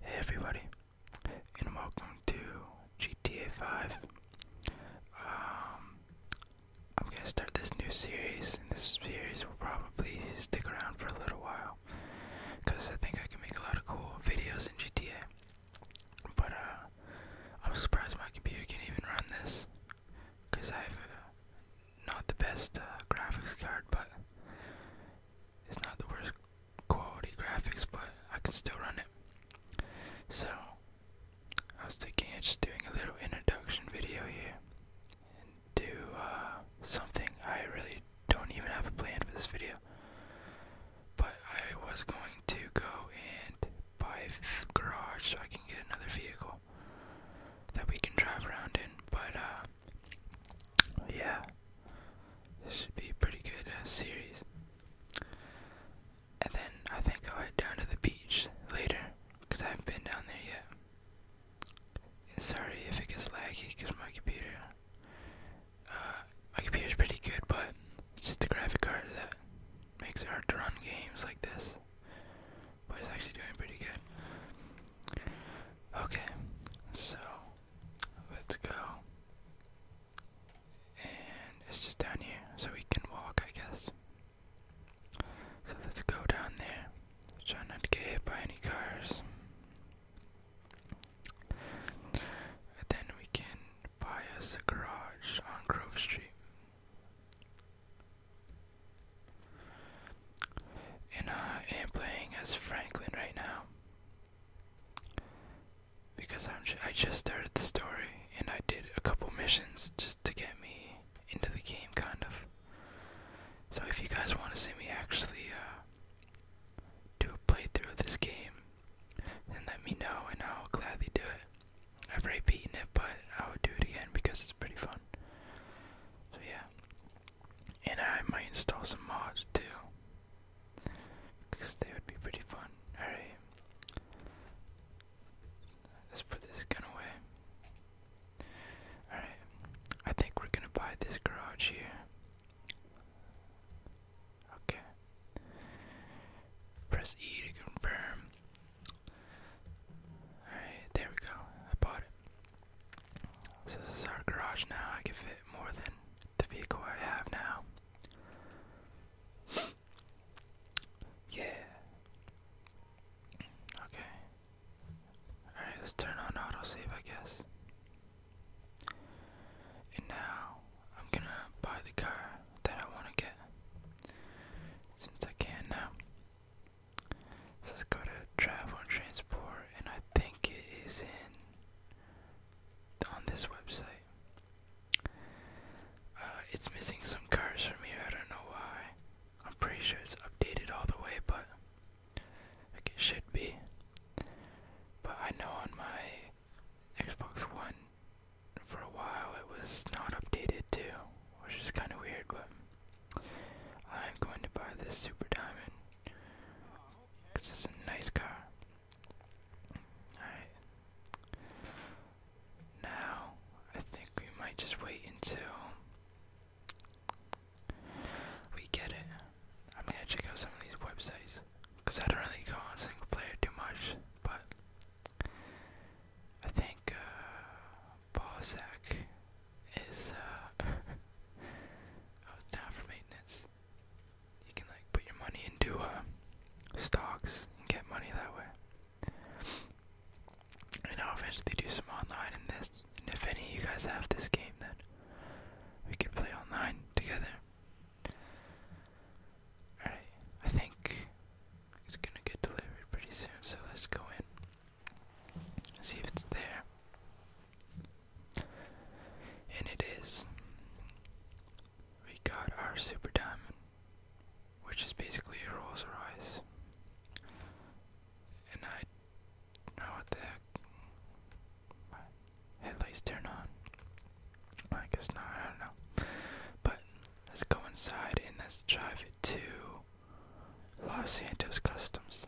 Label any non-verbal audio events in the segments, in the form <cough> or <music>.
Hey everybody, and welcome to GTA 5. Um, I'm gonna start this new series, and this series will probably stick around for a little while, because I think I can make a lot of cool videos in GTA. But, uh, I'm surprised my computer can even run this because I have not the best uh, graphics card, but it's not the worst quality graphics, but I can still run it. So I was thinking of just doing a little introduction video here and do uh, something I really don't even have a plan for this video, but I was going to go and buy garage so I can get another vehicle that we can drive around in. But, uh, yeah, this should be a pretty good uh, series. And then I think I'll head down to the beach later because I haven't been down there yet. sorry if it gets laggy because my computer. Uh, my computer's pretty good, but it's just the graphic card that makes it hard to run games like this. But it's actually doing pretty good. Okay, so let's go. And it's just down here, so we can walk, I guess. So let's go down there. Try not to get hit by any cars. then we can buy us a garage on Grove Street. And I am playing as Franklin right now. Because I'm I just started the story and I did a couple missions just to get me into the game, kind of. So if you guys want to see me actually uh, do a playthrough of this game, then let me know and I'll gladly do it. I've already beaten it, but I would do it again because it's pretty fun. So yeah, and I might install some mods too, because they would be pretty fun. All right, let's put this gun away. All right, I think we're gonna buy this garage here. Okay. Press E to confirm. Alright, there we go. I bought it. this is our garage now. I can fit more than the vehicle I have now. yeah. Okay. Alright, let's turn on auto save, I guess. And now I'm gonna buy the car that I want to get since I can now. let's go to travel and transport, and I think it is in on this website. Uh, it's missing some cars from here. I don't know why. I'm pretty sure it's updated all the way, but like it should be. But I know on my Xbox One for a while it was not updated too, which is kind of weird, but I'm going to buy this Super Diamond because it's a nice car. Alright. Now, I think we might just wait until we get it. I'm gonna check out some of these websites because I don't really go on single player too much, but I think uh, Balzac is uh, <laughs> oh, down for maintenance. You can like put your money into uh, stocks and get money that way. I'll eventually do some online in this. And if any of you guys have this game, then we could play online together. Alright, I think it's gonna get delivered pretty soon, so let's go in. See if it's there. And it is. We got our Super Diamond, which is basically a rose Royce. And I know what the heck. My headlights turn on. I guess not, I don't know. But let's go inside and let's drive it to Los Santos Customs.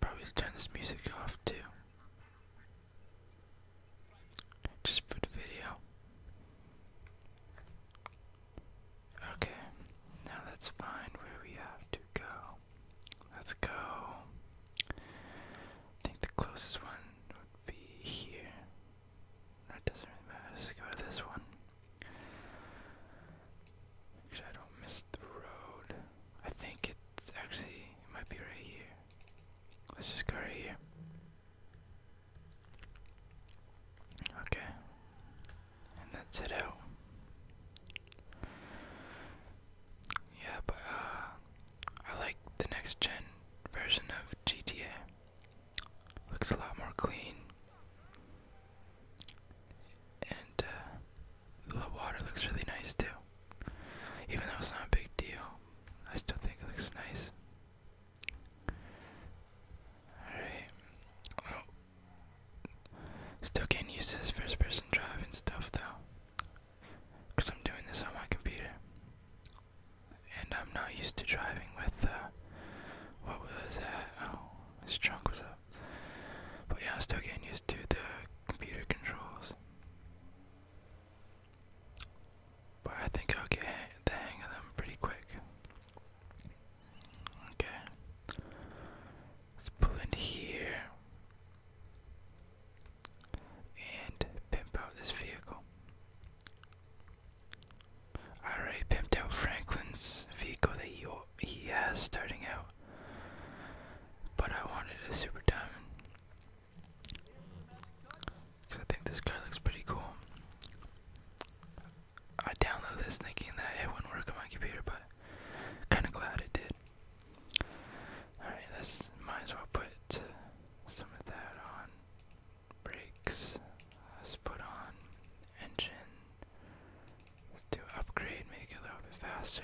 Probably turn this music off too. Just for video. Okay, now let's find where we have to go. Let's go. I think the closest one would be here. That doesn't really matter. Let's go to this one. Actually, I don't miss the road. I think it's actually, might be right here. Let's just go right here. Okay. And that's it out. Yeah, but uh, I like the next gen version of GTA. Looks a lot more clean, and uh, the water looks really nice too. Even though it's not a big deal, I still think it looks nice. Alright. Still can't use this first person drive and stuff though. Because I'm doing this on my computer. And I'm not used to driving with, uh, what was that? Oh, this trunk was up. But yeah, I'm still getting used to the computer controls. But I think I'll get the hang of them pretty quick. Okay. Let's pull in here and pimp out this vehicle. I already pimped out Franklin's vehicle that he, he has starting out, but I wanted a Super Diamond. Because I think this car looks pretty cool. I downloaded this thinking that it wouldn't work on my computer, but Kind of glad it did. Alright, let's might as well put some of that on. Brakes. Let's put on engine. Let's do upgrade, make it a little bit faster.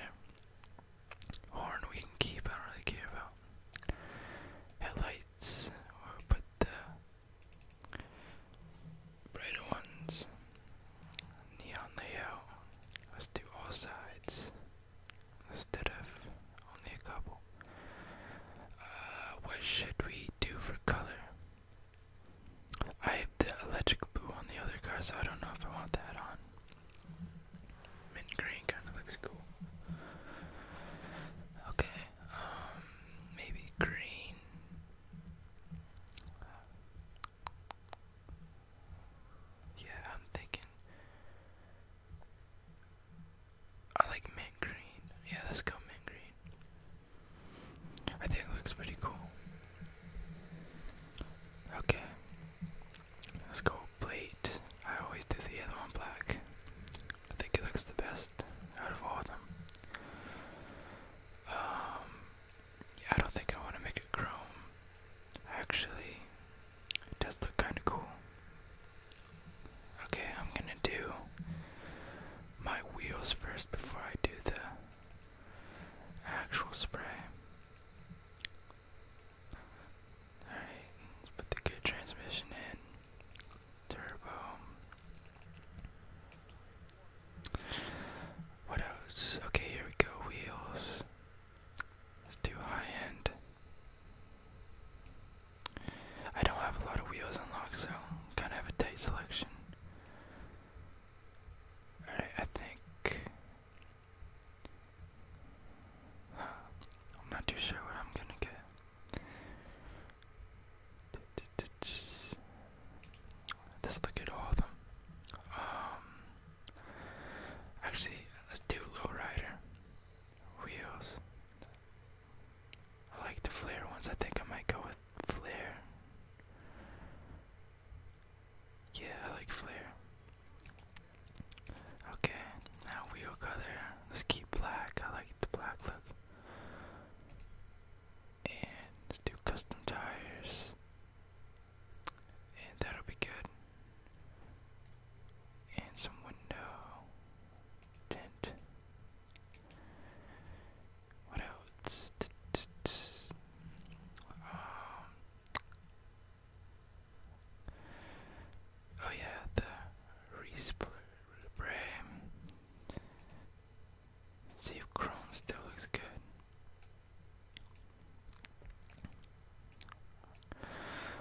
Horn we can keep, I don't really care about. Headlights, we'll put the brighter ones. Neon layout. Let's do all sides instead of only a couple. Uh, what should we do for color? I have the electric blue on the other car, so I don't know if I want that on. Mint green kind of looks cool. Okay, um, maybe green. Yeah, I'm thinking. I like mint green. Yeah, let's go mint green. I think it looks pretty cool. Okay. Let's go plate. I always do the other one black. I think it looks the best out of all of them. Um I don't think I want to make it chrome. Actually, it does look kind of cool. Okay, I'm gonna do my wheels first before I do the actual spray. Alright, let's put the good transmission in. Turbo. What else? Okay, here we go. Wheels. let high end. I don't have a lot of wheels unlocked, so kind of have a tight selection. Alright, I think. I'm not too sure what I'm gonna get. Let's look at all of them. actually, let's do Low Rider Wheels. I like the flare ones. I think I might go with flare. Yeah, I like flare. Okay, now wheel color. Let's keep black. I like the black look. And do custom tires. And that'll be good. And some window tint. What else? um. Oh yeah, the respray. See if Chrome still looks good.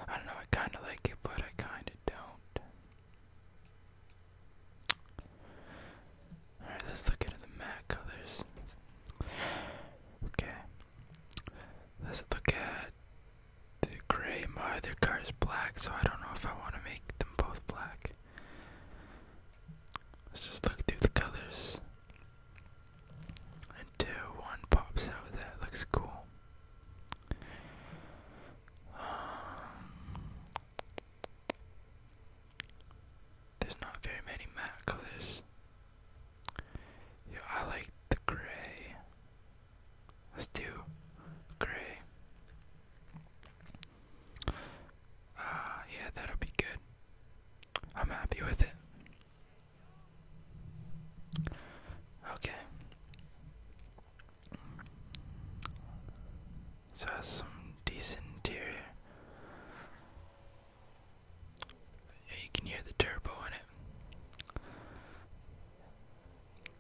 I don't know, I kinda like it, but I kinda don't. Alright, let's look into the matte colors. Okay. Let's look at the gray. My other car is black, so I don't know if I want to make them both black. Let's just look through the colors. Until one pops out that looks cool. Um, there's not very many matte colors. Yeah, I like the gray. Let's do gray. Uh, yeah, that'll be good. I'm happy with it. Okay. So that's some decent interior. Yeah, you can hear the turbo in it.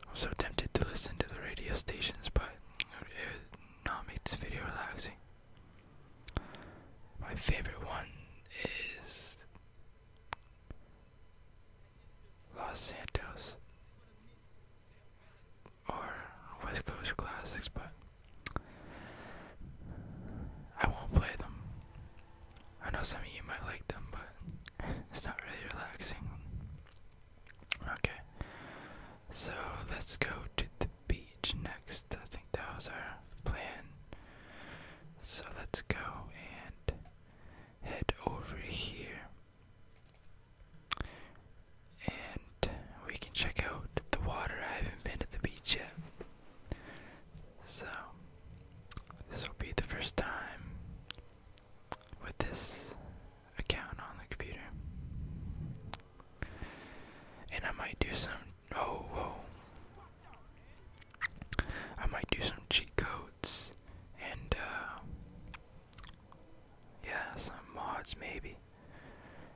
I'm so tempted to listen to the radio stations, but it would not make this video relaxing. My favorite one is Los Santos or West Coast Classics, but I won't play them. I know some of you might like them, but it's not really relaxing. Okay, so let's go to the beach next. I think that was our plan. So let's go and head over here. And we can check out the water. I haven't been to the beach yet. So this will be the first time with this account on the computer. And I might do some oh whoa. I might do some cheat codes and uh yeah, some mods maybe.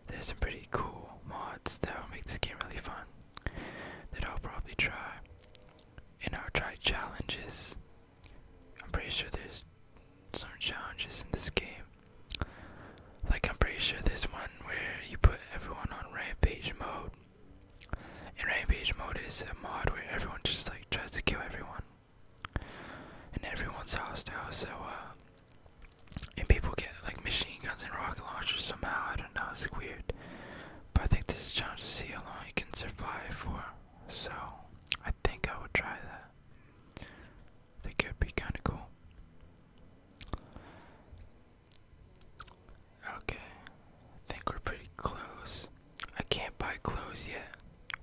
There's some pretty cool mods that'll make the game really fun. That I'll probably try. And I'll try challenges. I'm pretty sure there's some challenges in this game like I'm pretty sure this one where you put everyone on rampage mode. And rampage mode is a mod where everyone just like tries to kill everyone. And everyone's hostile, so uh, and people get like machine guns and rocket launchers somehow, I don't know, it's weird. But I think this challenge is see how long you can survive for. So I think I would try that. That could be kinda cool. Okay, I think we're pretty close. I can't buy clothes yet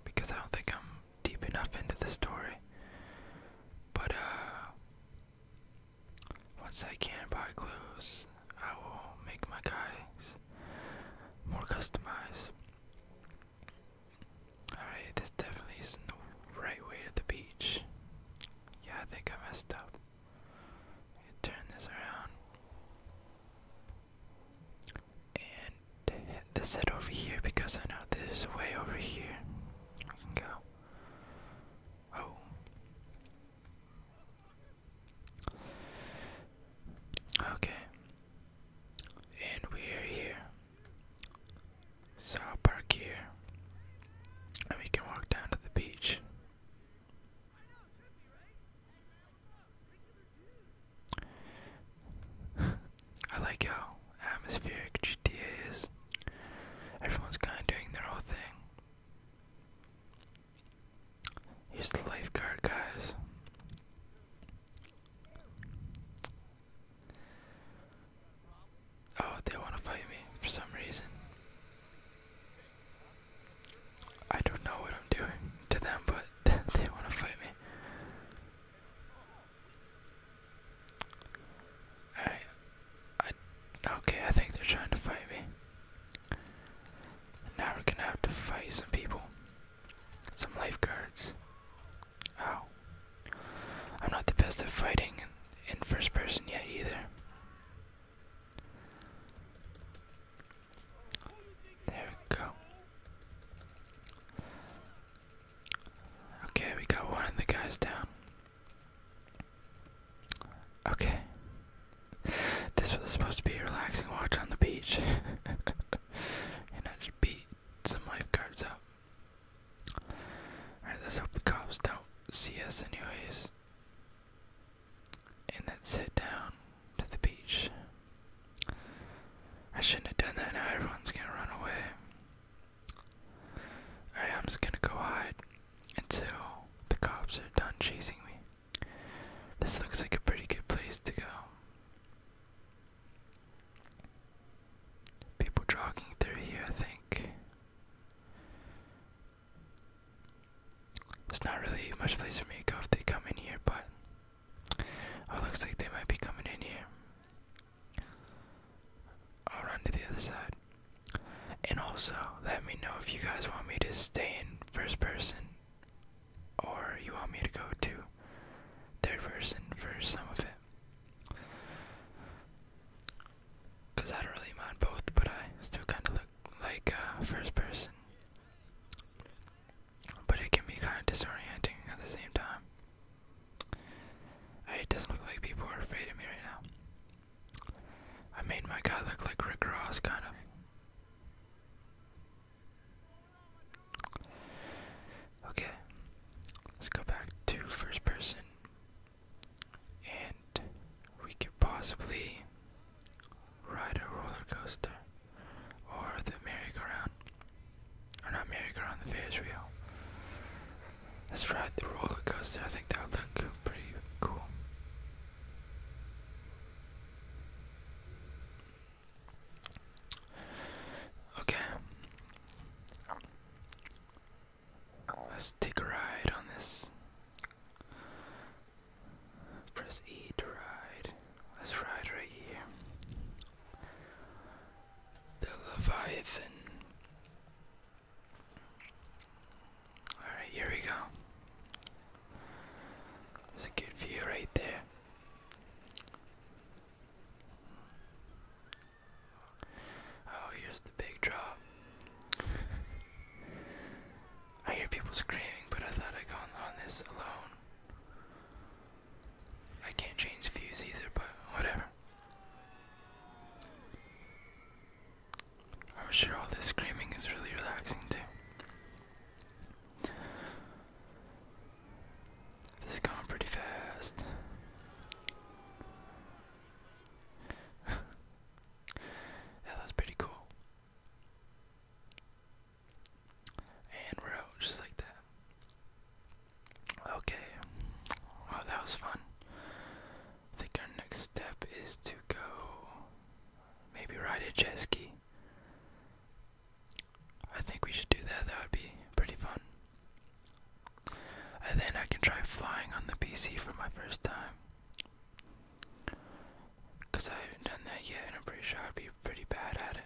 because I don't think I'm deep enough into the story. But, uh, once I can buy clothes, I will make my guys more customized. Alright, this definitely isn't the right way to the beach. Yeah, I think I messed up. Turn this around. And this head over here because I know there's a way over here. I can go. Oh. Okay. And we're here. So i park here. And we can walk down to the beach. <laughs> I like how atmospheric GTA is. Everyone's kind of doing their own thing. Here's the lifeguard, guys. Oh, they want to fight me for some reason. I don't know what I'm doing to them, but <laughs> they want to fight me. Alright. I, okay, I think they're trying to fight me. Now we're gonna have to fight some people. Some lifeguards. Ow. I'm not the best at fighting in, first person yet either. There we go. Okay, we got one of the guys down. Okay. This was supposed to be a relaxing watch on the beach. <laughs> and I just beat some lifeguards up. Alright, let's hope the cops don't see us, anyways. And let's down to the beach. I shouldn't have done that, now everyone's gonna run away. Alright, I'm just gonna go hide until the cops are done chasing me. This looks like a pretty good place to go. People jogging through here, I think. There's not really much place for me to go if they come in here, but. Oh, it looks like they might be coming in here. I'll run to the other side. And also, let me know if you guys want me to stay in first person or you want me to go to third person for some of it. Cause I don't really mind both, but I still kind of look like uh, first person. But it can be kind of disorienting at the same time. Hey, it doesn't look like people are afraid of me right now. I made my guy look like Rick Ross, kind of. Okay, let's go back to first person, and we could possibly ride a roller coaster or the merry-go-round, or not merry-go-round, the Ferris wheel. Let's ride the roller coaster. I think that would look pretty cool. Okay. Oh, let's take a ride on this. Press E to ride. Let's ride right here. The Leviathan. Alright, here we go. There's a good view right there. Oh, here's the big drop. I hear people screaming, but I thought I'd gone on this alone. I can't change views either, but whatever. I'm sure all this screaming is really relaxing too. This is going pretty fast. <laughs> yeah, that's pretty cool. And we're out just like that. Okay. Well, that was fun. I think our next step is to go maybe ride a jet ski. I think we should do that. That would be pretty fun. And then I can try flying on the PC for my first time. Because I haven't done that yet, and I'm pretty sure I'd be pretty bad at it.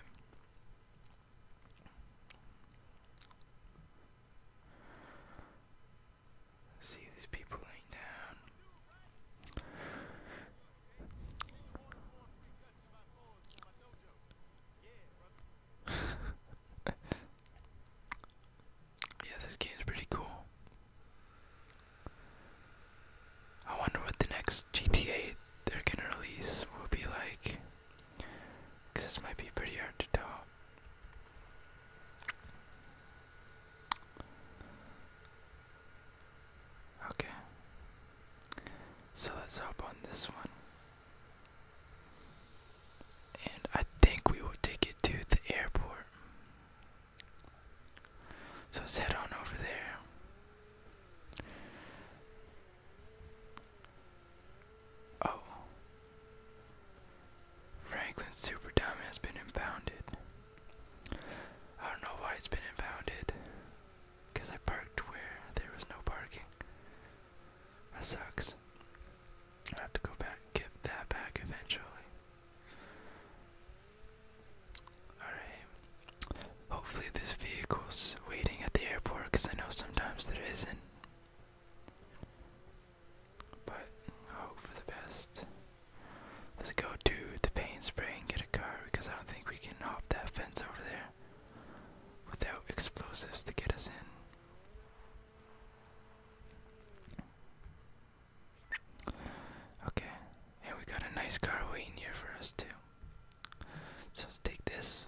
See these people laying down. <laughs> yeah, this game's pretty cool. I wonder what the next GTA they're gonna release will be like. Because this might be pretty hard to tell. Okay. So let's hop on this one. And I think we will take it to the airport. So let on over there. Oh. Franklin's super diamond has been impounded. I don't know why it's been impounded. Because I parked where there was no parking. That sucks. I have to go back give that back eventually. Alright. Hopefully this vehicle's waiting at the airport because I know sometimes there isn't. But hope for the best. Let's go do the paint spray and get a car because I don't think we can hop that fence over there without explosives to get us in. Okay, and we got a nice car waiting here for us too. So let's take this.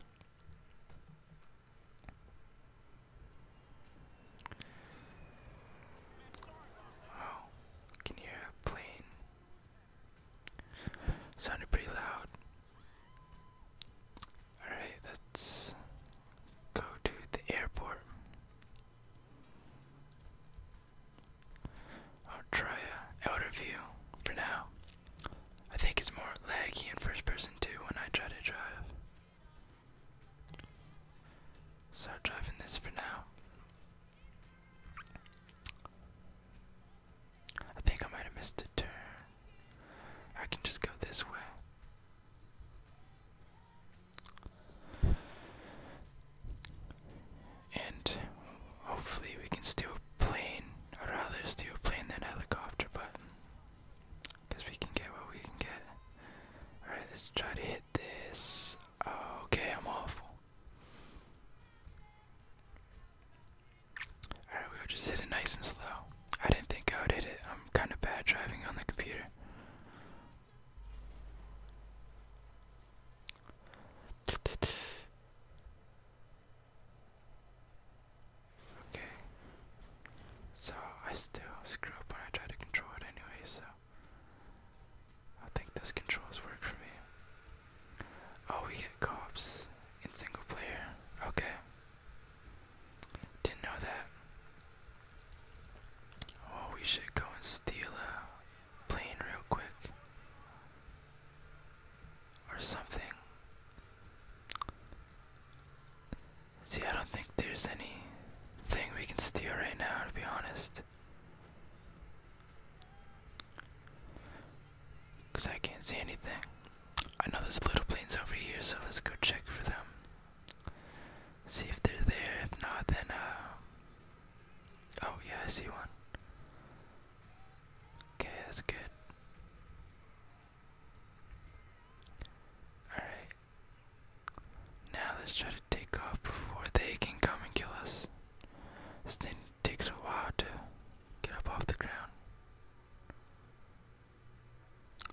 Oh, can hear a plane. Sounded pretty loud. Alright, let's go to the airport. I'll try a uh, outer view for now. I think it's more laggy in first person too when I try to drive. So driving this for now. I think I might have missed a turn. I can just go this way. And hopefully we can steal a plane. I'd rather steal a plane than helicopter, but because we can get what we can get. Alright, let's try to hit this. Okay, I'm awful. Alright, we'll just hit it nice and slow. I didn't think I would hit it. I'm kind of bad driving on the computer. Okay. So I still screw up when I try to control it anyway, so I think those controls work for me. Oh, we get cops in single player. Okay. Didn't know that. Oh, we should go and steal a plane real quick. Or something. See, I don't think there's any thing we can steal right now, to be honest. Because I can't see anything. I know there's little planes over here, so let's go check for them. See if they're there. If not, then, uh. Oh, yeah, I see one. Okay, that's good. Alright. Now let's try to take off before they can come and kill us. This thing takes a while to get up off the ground.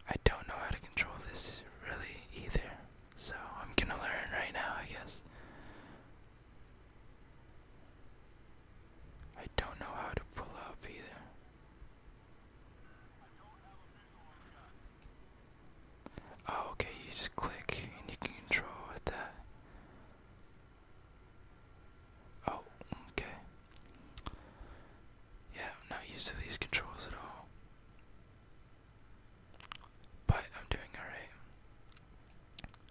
I don't know how to control this really either, so I'm gonna learn right now, I guess. I don't know how to pull up either. Oh, okay, you just click and you can control with that. Oh, okay. Yeah, I'm not used to these controls at all. But I'm doing alright.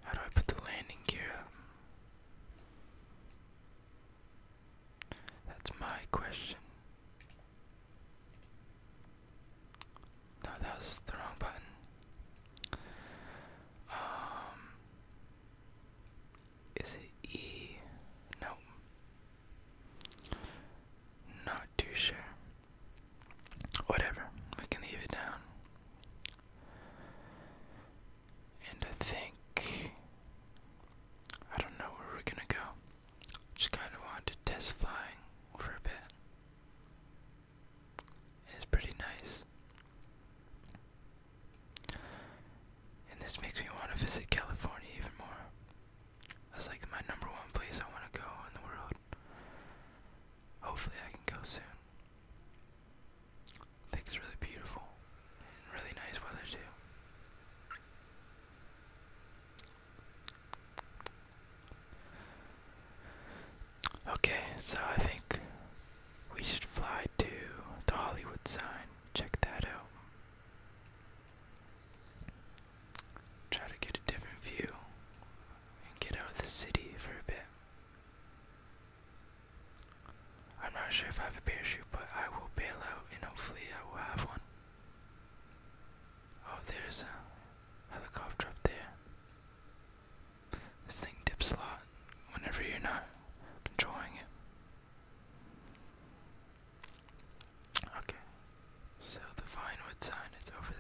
How do I put the landing gear up? That's my question. No, that was the wrong button. Um is it E? No. Not too sure. Whatever, we can leave it down. And I think. I don't know where we're gonna go. Just kinda wanted to test flying for a bit. It's pretty nice. And this makes me want to visit California even more. That's like my number one place I want to go in the world. Hopefully, I can go soon. I think it's really beautiful and really nice weather, too. Okay, so I think we should fly to the Hollywood sign. Check that out. Try to get a different view and get out of the city for a bit. I'm not sure if I have a parachute, but I will bail out and hopefully I will have one. Oh, there's a helicopter up there. This thing dips a lot whenever you're not controlling it. Okay, so the Vinewood sign is over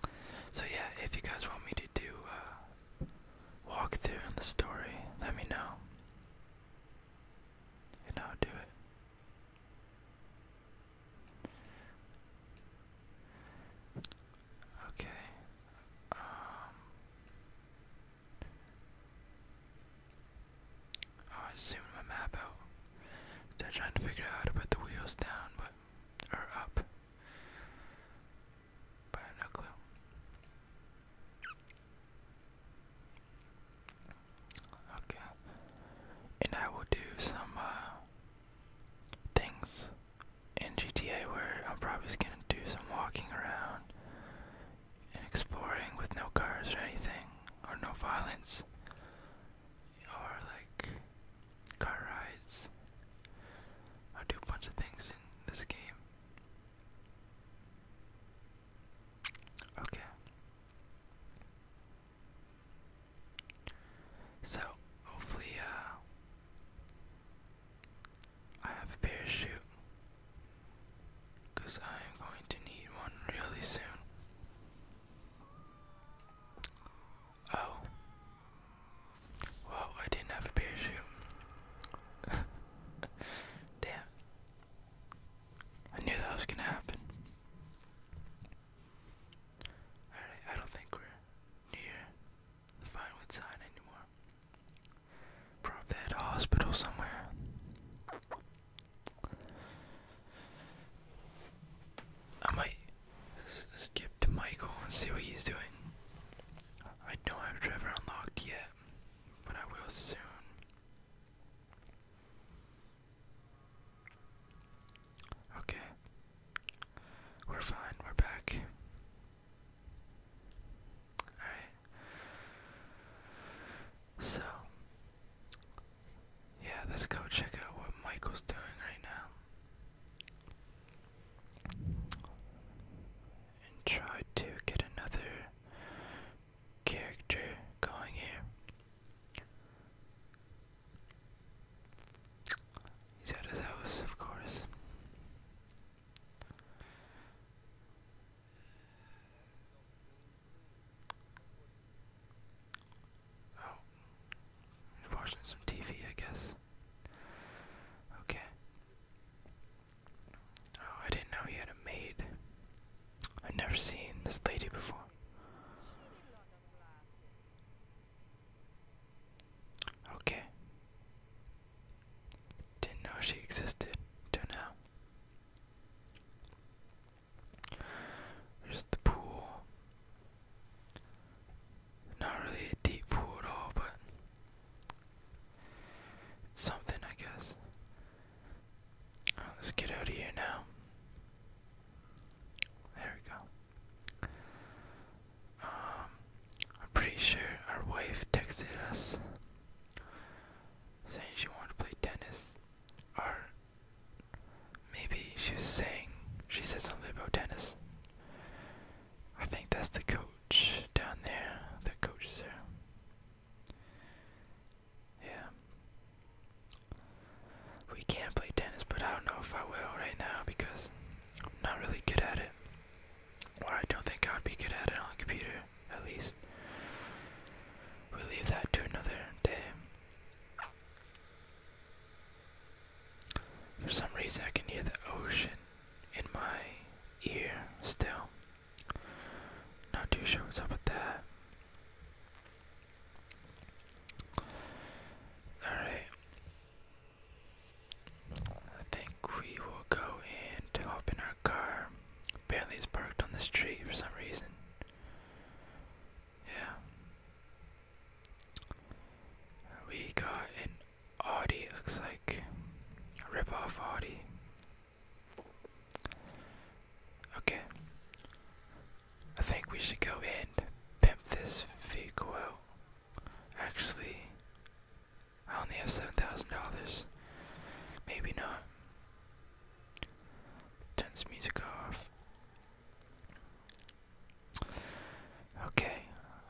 there. So, yeah, if you guys want me to do a walkthrough on the story, let me know. And I'll do it. Okay. Um, oh, I just zoomed my map out. they trying to figure out how to put the wheels down, but or up. But I no clue. Okay. And I will do some uh things in GTA where I'm probably just gonna do some walking around and exploring with no cars or anything, or no violence, or like car rides. I'll do a bunch of things in this game. Okay. So, hopefully, uh, I have a parachute. Because I am going to need one really soon. Oh. Well, I didn't have a parachute. <laughs> Damn. I knew that was gonna happen. Alright, I don't think we're near the violent side anymore. Probably at a hospital somewhere. I might skip to Michael and see what he's doing. I don't have Trevor unlocked yet, but I will soon. Okay. We're fine, we're back. Alright. So, yeah, let's go check out what Michael's doing right now. And try to get another character going here. He's at his house, of course. Oh, he's watching some TV, I guess. Okay. Oh, I didn't know he had a maid. I've never seen this lady before. Okay. Didn't know she existed till now. There's the pool. Not really a deep pool at all, but something, I guess. let's get out of here now. There we go. Um, I'm pretty sure our wife texted us saying she wants to play tennis. Or maybe she was saying she said something about tennis. I think that's the coach down there that coaches her. Yeah. We can not play tennis, but I don't know if I will right now because I'm not really good at it. Or I don't think I'd be good at it on the computer, at least. We leave that to another day. For some reason, I can hear the ocean in my ear still. Not too sure what's up with that. Alright, I think we will go in hop in our car. Apparently, it's parked on the street for some reason. Yeah. We got an Audi, looks like a rip Audi. Okay. I think we should go in pimp this vehicle Actually, I only have $7,000. Maybe not. Turn this music off. Okay,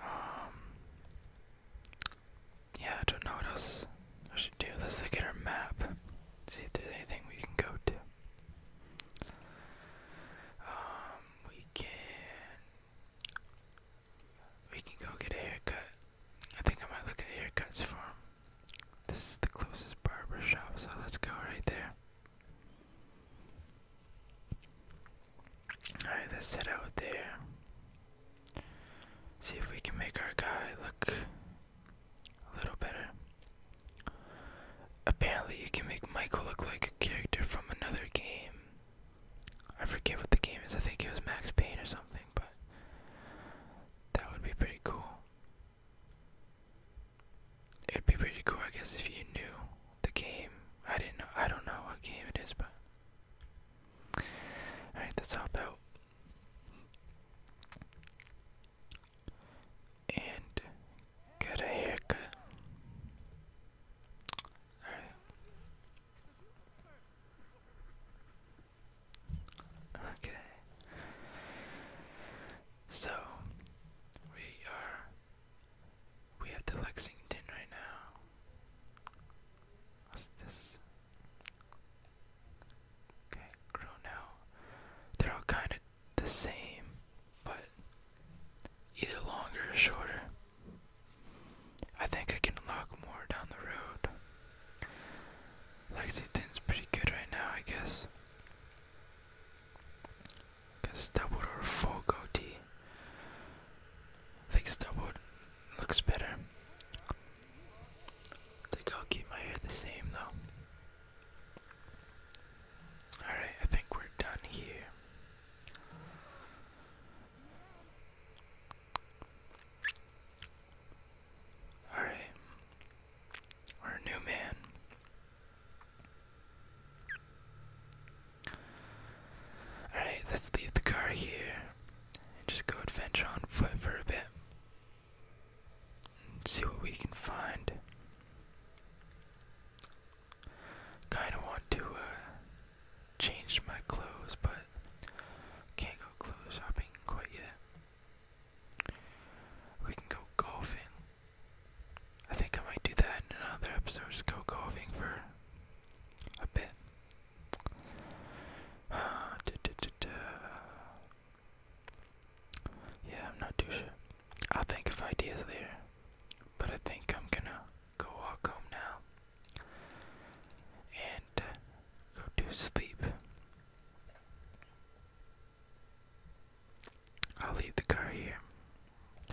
um, yeah, I don't know what else I should do. Let's look at our map, see if there's anything we can go to. Um, we can we can go get a haircut. I think I might look at haircuts for him. This is the closest barber shop, so let's go right there. Alright, let's head out there. See if we can make our guy look a little better. Apparently, you can make Michael look like a character from another game. I forget what the game is. I think it was Max Payne or something, but that would be pretty cool. It'd be pretty cool, I guess, if you knew the game. I didn't know. I don't know what game it is, but. Alright, let's hop out. And get a haircut. Okay. So we are we have Lexington right now. What's this? Okay, grow now. They're all kind of the same, but either longer or shorter. I think I can unlock more down the road. Lexington's pretty good right now, I guess. Cause Stubbwood or full goatee. I think Stubbwood looks better. I think I'll keep my hair the same though. Alright, I think we're done here. Alright. Our new man. Alright, let's leave the car here and just go adventure on foot for a bit. And see what we can find. Kinda want to uh, change my clothes, but can't go clothes shopping quite yet. We can go golfing. I think I might do that in another episode. Just go golfing for a bit. <sighs> Yeah, I'm not too sure. I'll think of ideas later, but I think I'm gonna go walk home now and uh, go to sleep. I'll leave the car here.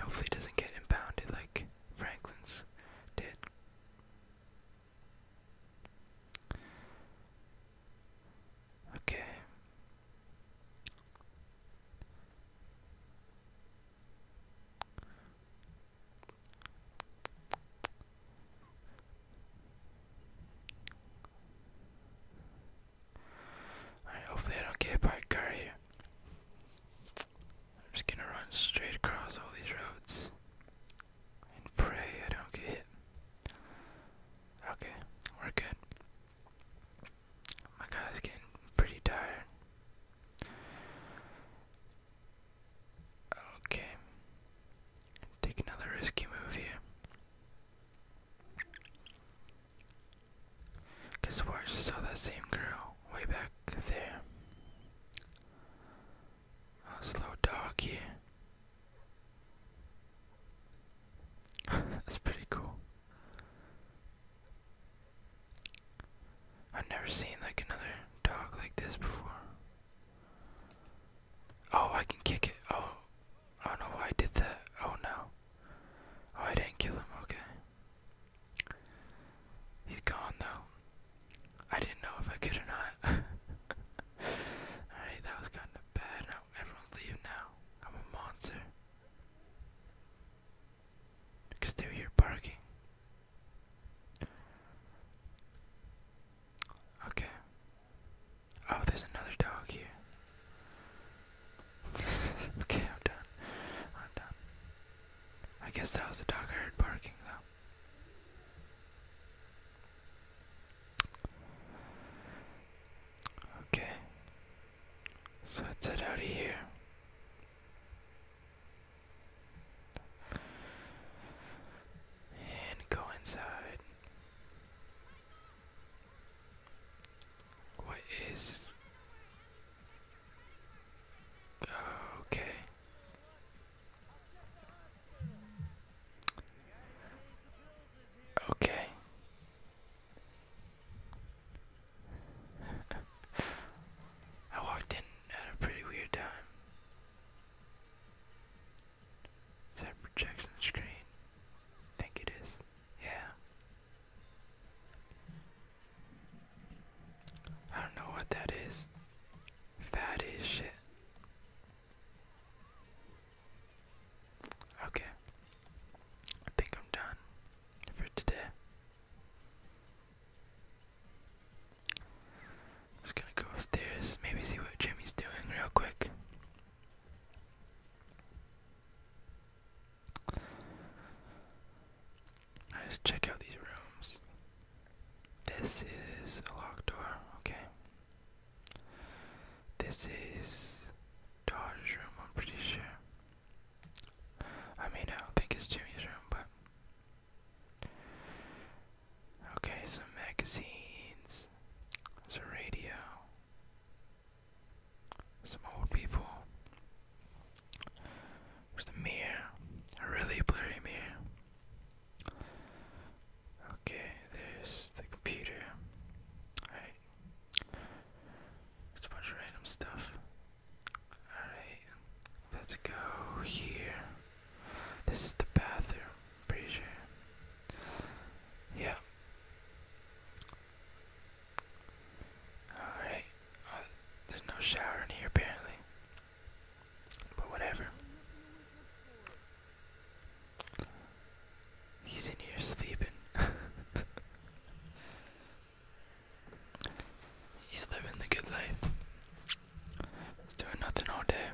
Hopefully, it doesn't get impounded like Franklin's did. Okay. Alright, hopefully I don't get by a car here. I'm just gonna run straight across all these roads and pray I don't get hit. Okay, we're good. My guy's getting pretty tired. Okay. Take another risky move here. Cause where just saw that same girl way back there. Oh, slow dog here. <laughs> That's pretty cool. I've never seen like another dog like this before. Oh, I can kick it. Oh, I don't know why I did that. Oh no. Oh, I didn't kill him. Okay. He's gone though. I didn't know if I could or not. <laughs> Alright, that was kind of bad. Now everyone's leaving now. I'm a monster. You can still hear barking. Okay. Oh, there's another dog here. <laughs> okay, I'm done. I'm done. I guess that was the dog I heard barking, though. Okay. So let's head out of here. And go inside. What is. Okay. Okay. I walked in at a pretty weird time. Is that projection screen? I think it is. Yeah. I don't know what that is. Fat shit. Okay. I think I'm done for today. Just gonna go upstairs, maybe see what Jimmy's doing real quick. I just check out these rooms. This is a locked door, okay. This is daughter's room, I'm pretty sure. I mean, I don't think it's Jimmy's room, but. Okay, some magazines, some radio, some old people. There's a mirror, a really blurry mirror. Okay, there's the computer. It's a bunch of random stuff. Alright, let's go here. This is the bathroom, pretty sure. Yeah. Alright, uh, there's no shower in here apparently. But whatever. He's in here sleeping. <laughs> He's living the good life. He's doing nothing all day.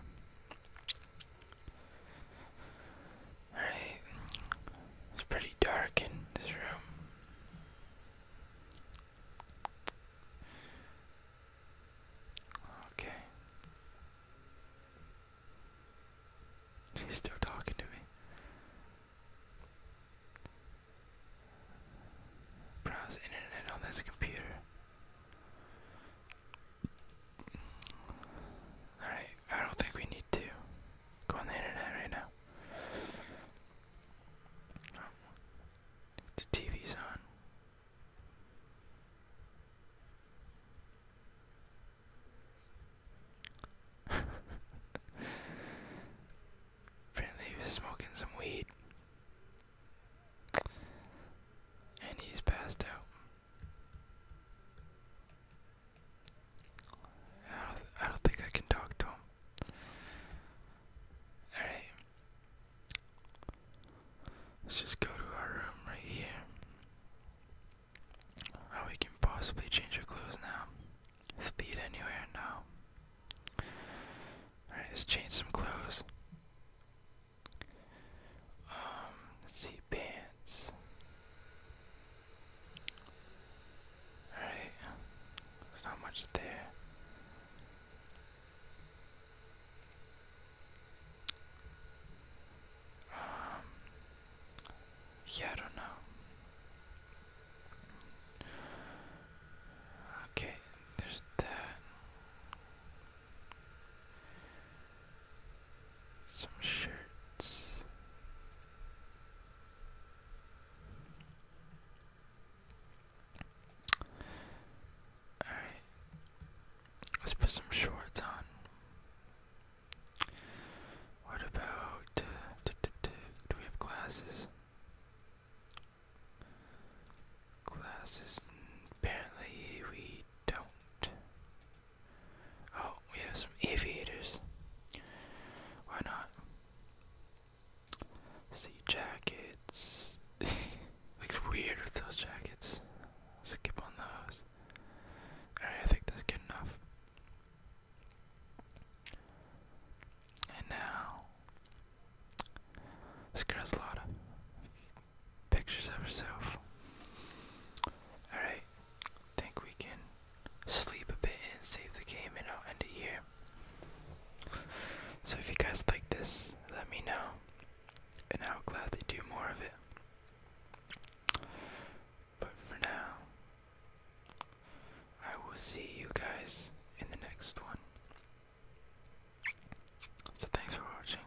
Alright. It's pretty dark in this room. Okay. He's still talking to me. Browse internet on this computer. Alright, I don't think we need to go on the internet right now. the TV's on. <laughs> Apparently he was smoking some weed. And he's passed out. I don't think I can talk to him. Alright. Let's just go to our room right here. How we can possibly change our clothes now. Let's lead anywhere now. Alright, let's change some clothes. Um, let's see, pants. Alright, there's not much there. Um, yeah, I don't know. Okay, there's that. Some shirts. Alright, let's put some shorts on. What about uh, do we have classes? Classes apparently we don't. Oh, we have some aviators. Why not? See jackets. <laughs> Looks weird with those jackets. Skip on those. I think that's good enough. And now, this girl's a lot of pictures of herself. Alright, think we can sleep a bit and save the game, and I'll end it here. So, if you guys like this, let me know, and I'll gladly do more of it. But for now, I will see you guys in the next one. So thanks for watching.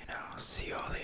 And I'll see you all later.